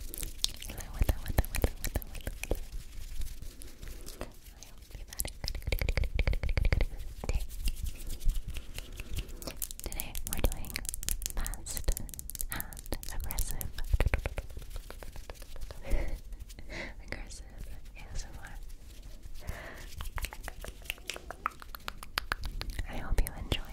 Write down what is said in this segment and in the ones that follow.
Today we're doing fast aggressive, aggressive ASMR. I hope you enjoy.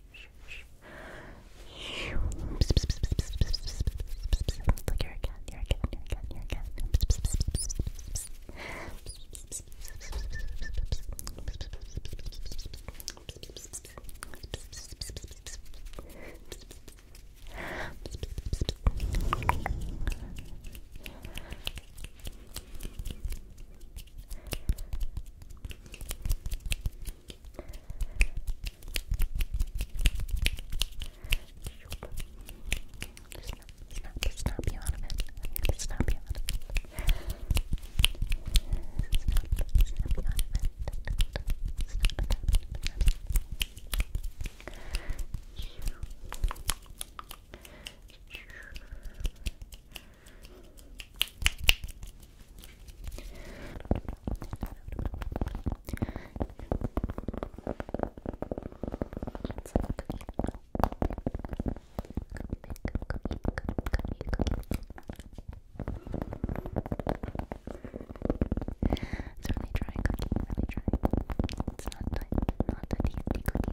Look, you're a cat, you're a cat, you're a cat, you're a cat. Good, Snap, snap, snap you out of it. I'm gonna snap you out of it. Snap, snap you out of it. Snap it out of it. Snap it. Snap it's really dry cookie, really dry. It's not like, not a tasty cookie.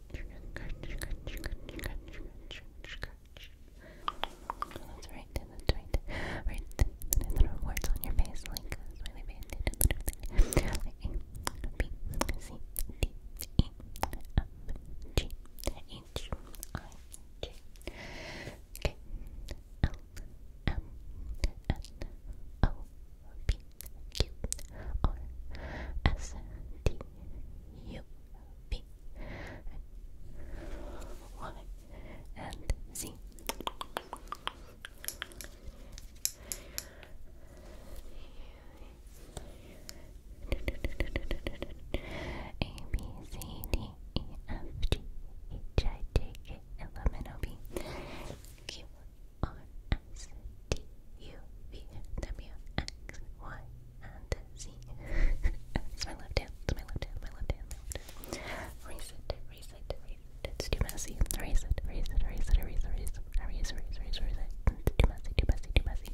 That's right, that's right. Right, then throw words on your face like uh, a smiley Like A, uh, B, C, D, E, F, G, H, I, J, K, L, M, N, O, P, Q R S T U B Y and Z. A B C D E F G H I J K L M N O P Q R S T U V W X Y and Z. my left hand. my left hand. My left hand. My left hand. Erase it. Erase it. Erase it. too messy. Erase it. Erase it. Erase it. Erase it. Erase it. Erase. Erase. Erase. too messy. Too messy. Too messy.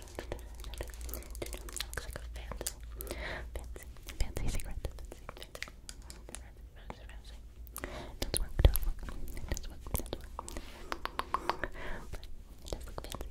looks like a fancy, fancy, fancy cigarette. Fancy, fancy, fancy, fancy. Doesn't work, doesn't work, doesn't work, doesn't work. But it does look fancy.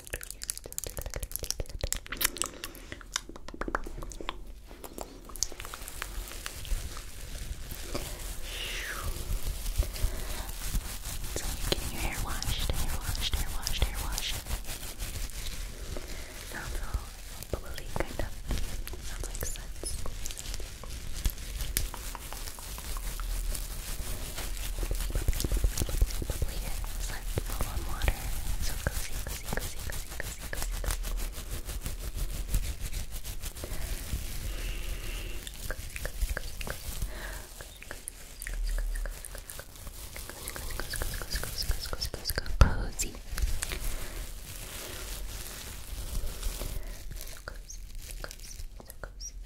So you're getting your hair washed, hair washed, hair washed, hair washed. Sounds all bubbly, kind of. Sounds like suds bubbly is like full on water. So cozy, cozy, cozy, cozy, cozy, cozy, cozy. Cozy, cozy, cozy, cozy. Cozy. So cozy, so cozy,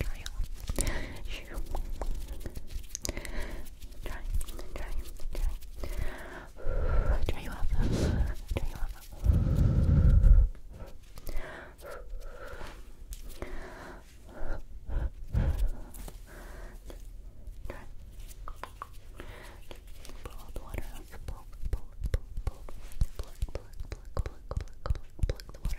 try on. Try, try, try. Try you off. Try you off. Try. Blow all the water off. Blow, blow, blow, blow. Pluck, pluck, pluck, pluck, pluck, pluck, the water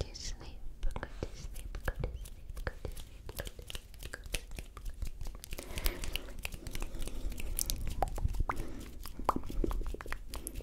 sleep. you sleep. Go to sleep. Go to sleep. Go to sleep. Go to sleep. Go to sleep.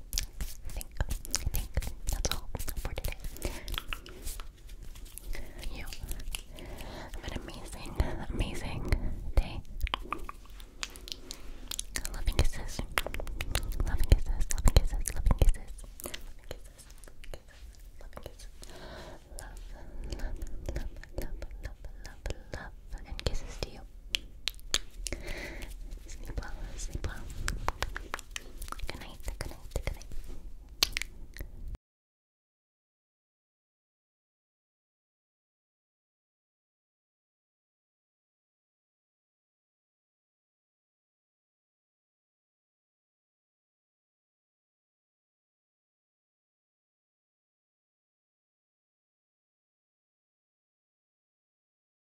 think, think. That's all for today. You have an amazing, amazing day. Loving kisses. Loving kisses. Loving kisses. Loving kisses. Loving kisses. kisses. love, love, love, love, love, love, and kisses to you. Sleep well, sleep well. Good night, good night, good night.